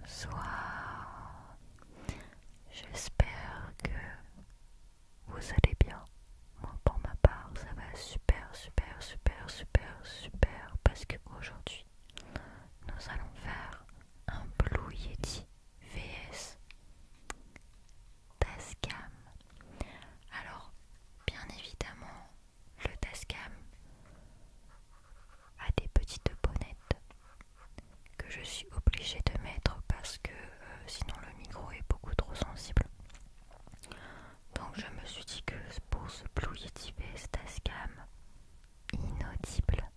Bonsoir, j'espère que vous allez bien. Moi pour ma part ça va super super super super super parce que aujourd'hui nous allons faire un Blue Yeti VS Tascam. Alors bien évidemment le Tascam a des petites bonnettes que je suis obligée de mettre parce que euh, sinon le micro est beaucoup trop sensible. Donc je me suis dit que pour ce Blue Yeti Tascam inaudible,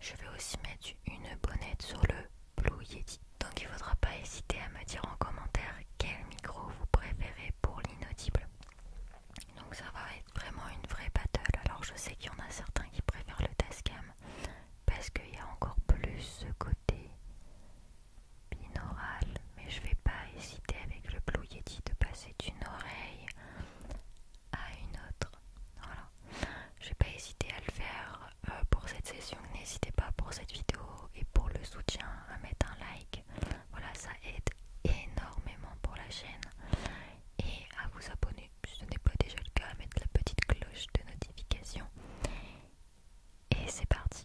je vais aussi mettre une bonnette sur le Blue Yeti. Donc il ne faudra pas hésiter à me dire en commentaire quel micro vous préférez pour l'inaudible. Donc ça va être vraiment une vraie battle. Alors je sais qu'il y en a certains qui préfèrent le Tascam parce qu'il y a encore plus ce côté binaural. Mais je vais pas hésiter avec le Blue Yeti de passer d'une oreille à une autre. Voilà. Je vais pas hésiter à le faire euh, pour cette session. N'hésitez pas pour cette vidéo et pour le soutien à mettre un like voilà, ça aide énormément pour la chaîne. Et à vous abonner, si ce n'est pas déjà le cas, à mettre la petite cloche de notification. Et c'est parti.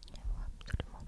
absolument. Directement,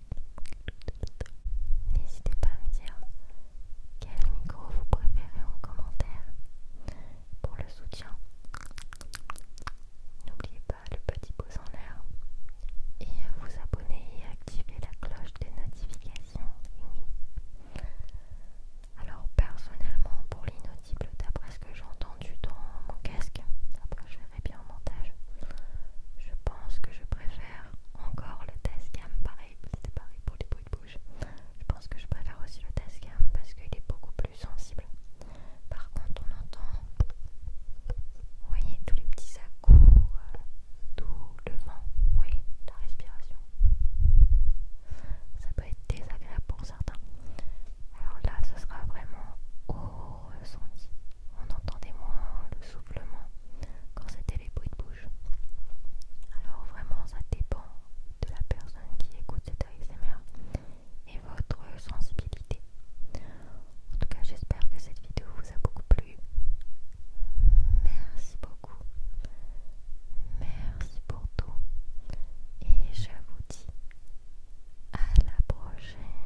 N'hésitez pas à me dire quel micro vous préférez en commentaire pour le soutien. N'oubliez pas le petit pouce en l'air et vous abonner et activer la cloche des notifications. Alors personnellement pour l'inaudible d'après ce que j'ai entendu dans mon casque, après je verrai bien au montage, je pense que je préfère encore le test pareil, pareil pour les bruits de bouche. Je pense que je préfère aussi le test Tascam parce qu'il est beaucoup plus sensible. Par contre, on entend, voyez, tous les petits à euh, tout le vent, oui, la respiration. Ça peut être désagréable pour certains. Alors là, ce sera vraiment au ressenti on entendait moins le soufflement quand c'était les bruits de bouche. Alors vraiment ça dépend de la personne qui écoute cet ASMR et votre sensibilité. En tout cas j'espère que cette vidéo vous a beaucoup plu. Merci beaucoup. Merci pour tout. Et je vous dis à la prochaine.